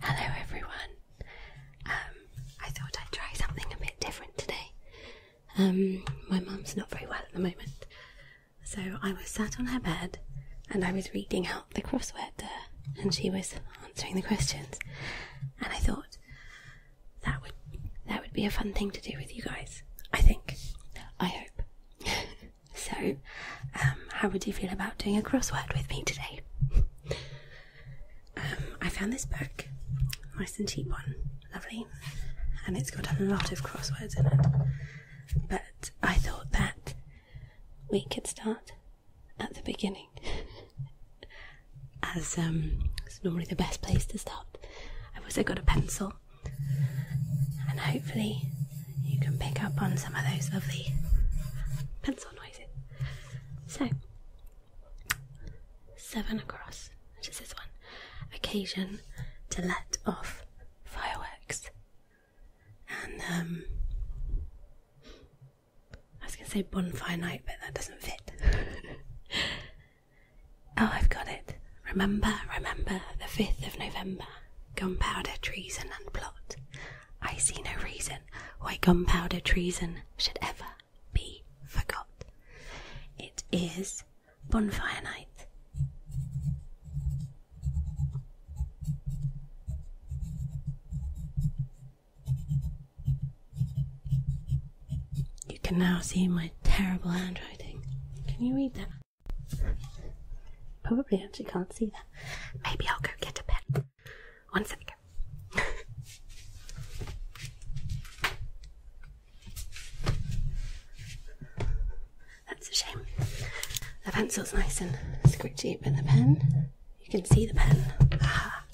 Hello everyone. Um, I thought I'd try something a bit different today. Um, my mum's not very well at the moment, so I was sat on her bed and I was reading out the crossword to her, and she was answering the questions. And I thought that would that would be a fun thing to do with you guys. I think. I hope. so um, how would you feel about doing a crossword with me today? Um, I found this book, nice and cheap one, lovely, and it's got a lot of crosswords in it. But I thought that we could start at the beginning, as um, it's normally the best place to start. I've also got a pencil, and hopefully, you can pick up on some of those lovely pencil noises. So, seven across, which is this one occasion to let off fireworks. And, um, I was going to say bonfire night, but that doesn't fit. oh, I've got it. Remember, remember the 5th of November, gunpowder, treason, and plot. I see no reason why gunpowder treason should ever be forgot. It is bonfire night. You can now see my terrible handwriting. Can you read that? Probably actually can't see that. Maybe I'll go get a pen. One second. That's a shame. The pencil's nice and squidgy, but the pen, you can see the pen. Ah.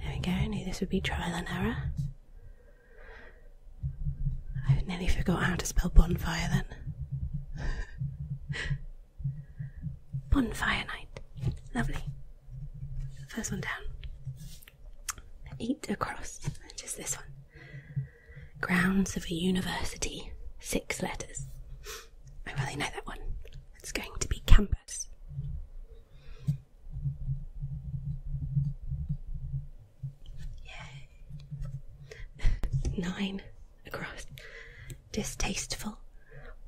There we go, this would be trial and error. I nearly forgot how to spell bonfire then. Bonfire night. Lovely. First one down. Eight across, just this one. Grounds of a university. Six letters. I really know that one. It's going to be campus. Yay. Nine across distasteful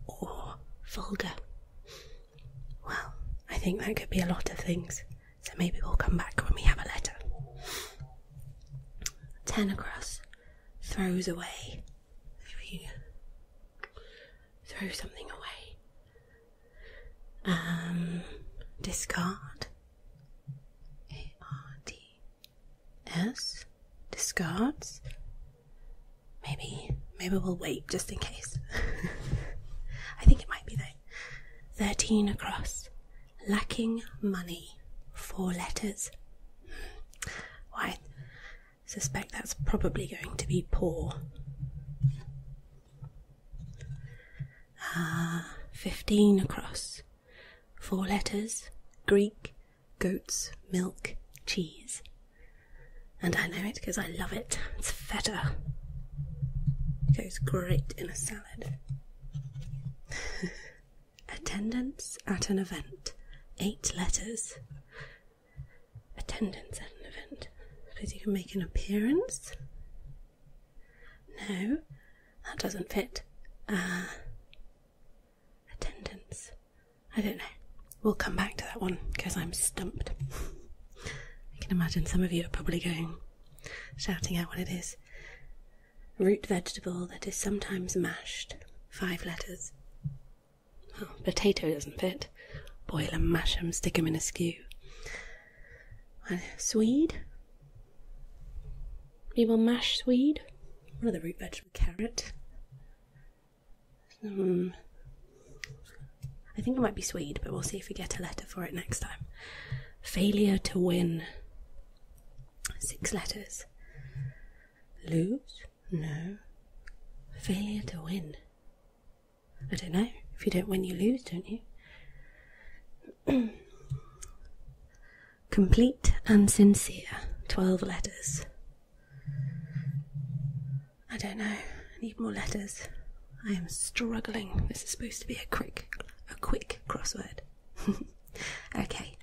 or vulgar. Well, I think that could be a lot of things, so maybe we'll come back when we have a letter. Ten across throws away. Throw something away. Um, discard. A R D S discards. Maybe maybe we'll wait just in case. I think it might be though. Thirteen across. Lacking money. Four letters. Why hmm. suspect that's probably going to be poor. Ah, fifteen across. Four letters. Greek goat's milk cheese. And I know it because I love it. It's feta. It goes great in a salad. Attendance at an event. Eight letters. Attendance at an event. Suppose you can make an appearance? No, that doesn't fit. Uh, Attendance. I don't know. We'll come back to that one because I'm stumped. I can imagine some of you are probably going shouting out what it is. Root vegetable that is sometimes mashed. Five letters. Oh, potato doesn't fit. Boil and Stick stick 'em in a stew. Swede? We will mash swede? One of the root vegetable? Carrot. Um, I think it might be Swede, but we'll see if we get a letter for it next time. Failure to win. Six letters. Lose? No. Failure to win. I don't know. If you don't win, you lose, don't you? Complete and sincere. Twelve letters. I don't know. I need more letters. I am struggling. This is supposed to be a quick, a quick crossword. okay.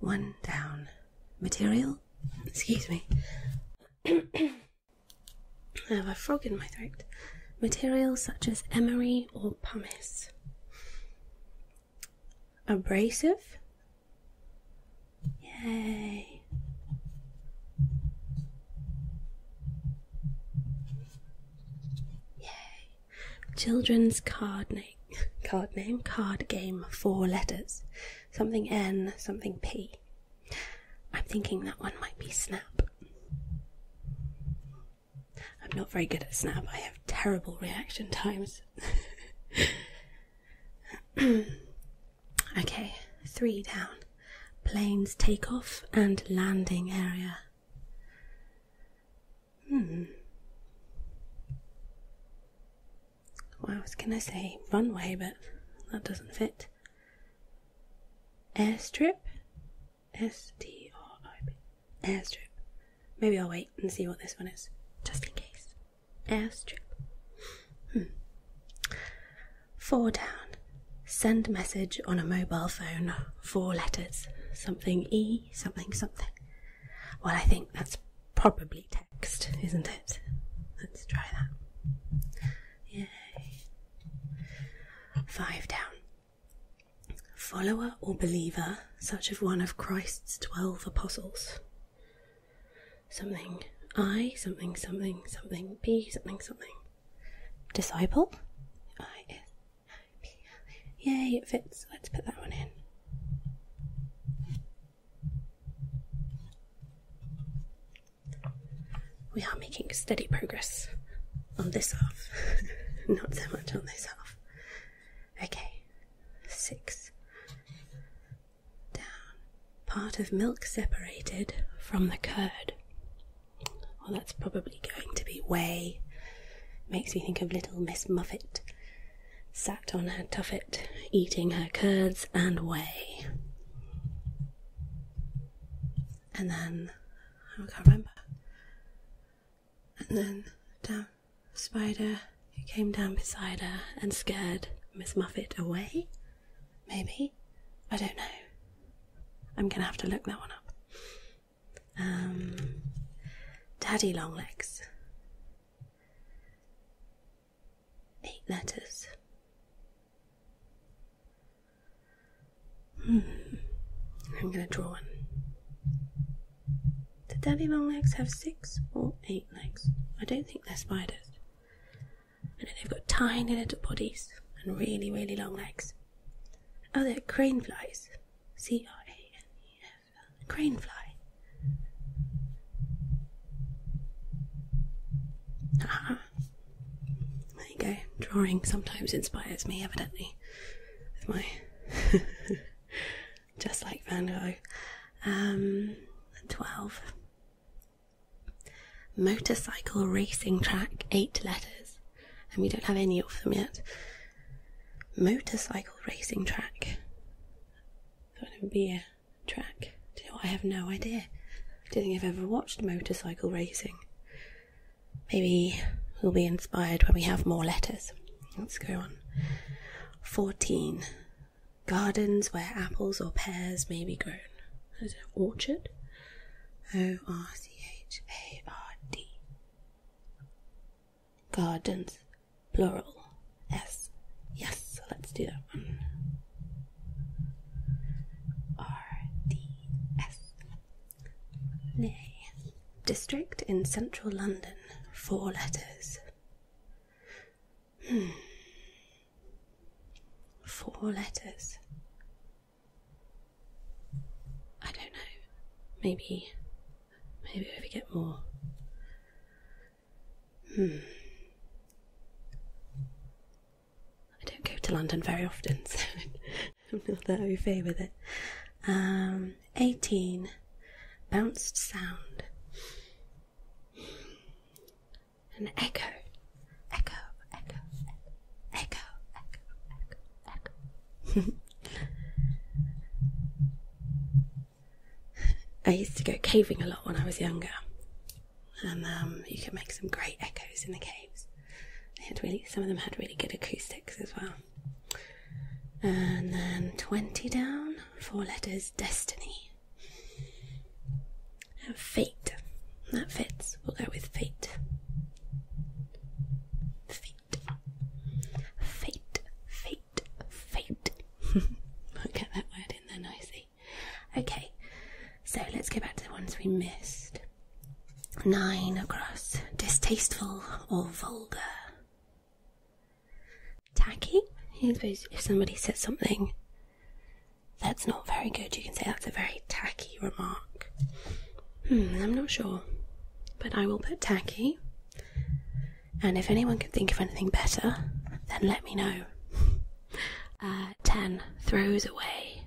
One down. Material? Excuse me. I have a frog in my throat. Material such as emery or pumice abrasive. Yay. Yay. Children's card name card name card game four letters. Something N, something P. I'm thinking that one might be snap. I'm not very good at snap. I have terrible reaction times. okay, three down. Planes takeoff and landing area. Hmm. I was gonna say runway, but that doesn't fit. Airstrip? S T R I B. Airstrip. Maybe I'll wait and see what this one is, just in case. Air strip. Hmm. Four down. Send message on a mobile phone. Four letters. Something E, something, something. Well, I think that's probably text, isn't it? Let's try that. Yay. Five down. Follower or believer such of one of Christ's twelve apostles. Something I, something, something, something, B, something, something. Disciple? I, S, I, P, L, Yay, it fits. Let's put that one in. We are making steady progress on this half, not so much on this half. Okay, six. Down. Part of milk separated from the curd. Well, that's probably going to be whey. Makes me think of little Miss Muffet sat on her tuffet eating her curds and whey. And then, I can't remember. And then down spider who came down beside her and scared Miss Muffet away? Maybe? I don't know. I'm gonna have to look that one up. Um, Daddy Longlegs. Eight letters. Hmm. I'm gonna draw one. The daddy long legs have six or eight legs. I don't think they're spiders. I know they've got tiny little bodies and really, really long legs. Oh, they're crane flies. C R A N E F. Crane fly. Ah, there you go. Drawing sometimes inspires me, evidently, my just like Van Gogh. Um, 12. Motorcycle racing track, eight letters, and we don't have any of them yet. Motorcycle racing track. That would be track. Do you know I have no idea. I don't think I've ever watched motorcycle racing. Maybe we'll be inspired when we have more letters. Let's go on. 14. Gardens where apples or pears may be grown. Is it orchard? O R C H A R D. Gardens, plural. S. Yes, so let's do that one. R D S. Nay. District in central London. Four letters. Four letters. I don't know. Maybe. Maybe if we get more. Hmm. I don't go to London very often, so I'm not that au fait with it. Um, 18 bounced sound an echo echo echo echo echo echo echo I used to go caving a lot when I was younger and um, you can make some great echoes in the caves they had really some of them had really good acoustics as well and then 20 down, four letters destiny. fate. That fits. We'll go with fate. Fate. Fate. Fate. Fate. will get that word in there nicely. Okay, so let's go back to the ones we missed. Nine across. Distasteful or vulgar tacky. I suppose if somebody says something that's not very good, you can say that's a very tacky remark. Hmm, I'm not sure, but I will put tacky. And if anyone can think of anything better, then let me know. Uh, 10 throws away.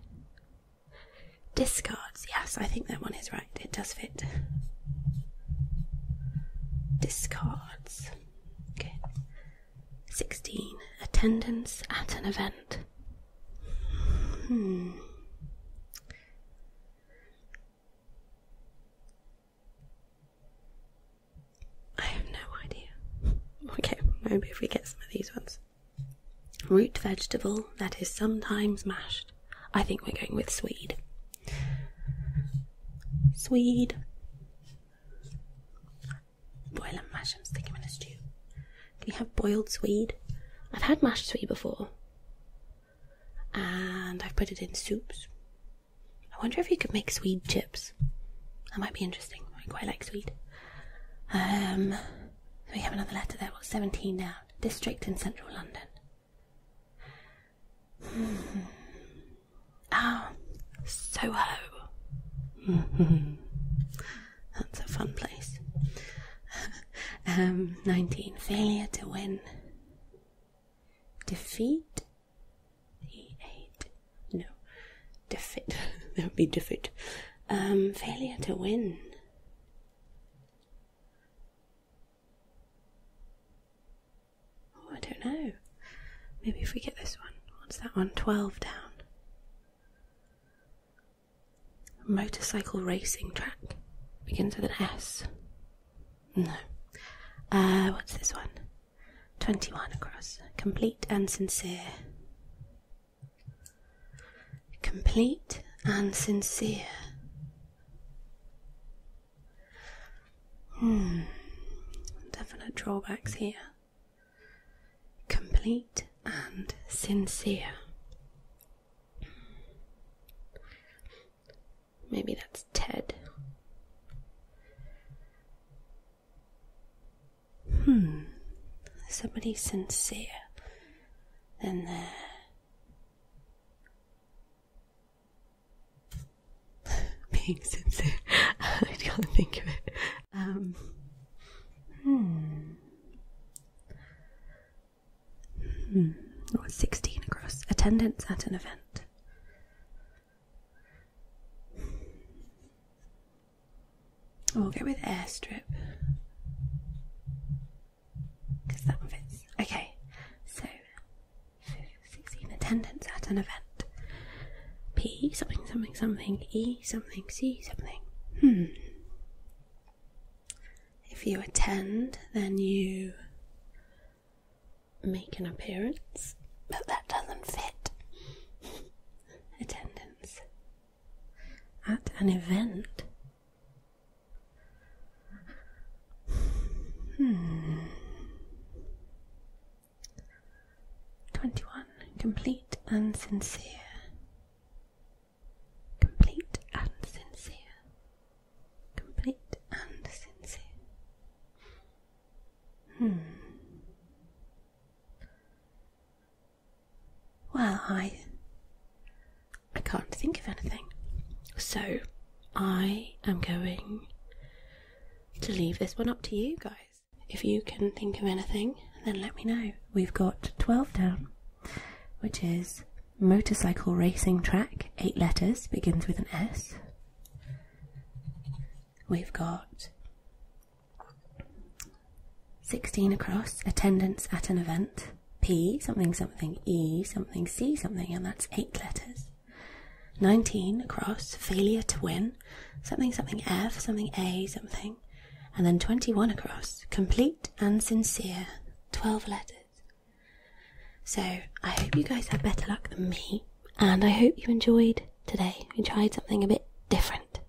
Discards. Yes, I think that one is right. It does fit. Discards. Okay. 16. Attendance at an event. Hmm. I have no idea. Okay, maybe if we get some of these ones. Root vegetable that is sometimes mashed. I think we're going with Swede. Swede. Boil and mash them, stick them in a stew. Can you have boiled Swede? I've had mashed Swede before. And I've put it in soups. I wonder if you could make Swede chips. That might be interesting. I quite like Swede. Um, we have another letter there. What's 17 now? District in central London. ah, Soho. That's a fun place. um, 19. Failure to win. Defeat. 8 No. Defeat. that would be defeat. Um, failure to win. Oh, I don't know. Maybe if we get this one. What's that one? 12 down. Motorcycle racing track. Begins with an S. No. Uh, what's this one? 21 across. Complete and sincere. Complete and sincere. Hmm. definite drawbacks here. Complete and sincere. Maybe that's Ted. Hmm, somebody sincere. Then there. being sincere, I can't think of it. Um, hmm. Hmm. Oh, 16 across. Attendance at an event. We'll oh, go with airstrip. Because that fits. Okay, so 16 attendance at an event. P something something something E something C something. Hmm. If you attend, then you make an appearance, but that doesn't fit. Attendance at an event. Hmm. 21. Complete and sincere. Complete and sincere. Complete and sincere. Hmm. Well, I I can't think of anything. So I am going to leave this one up to you guys. If you can think of anything, then let me know. We've got 12 down, which is motorcycle racing track, eight letters, begins with an S. We've got 16 across, attendance at an event, P something something, E something, C something, and that's eight letters. 19 across, failure to win, something, something F, something A, something, and then 21 across, complete and sincere, 12 letters. So, I hope you guys had better luck than me, and I hope you enjoyed today. We tried something a bit different.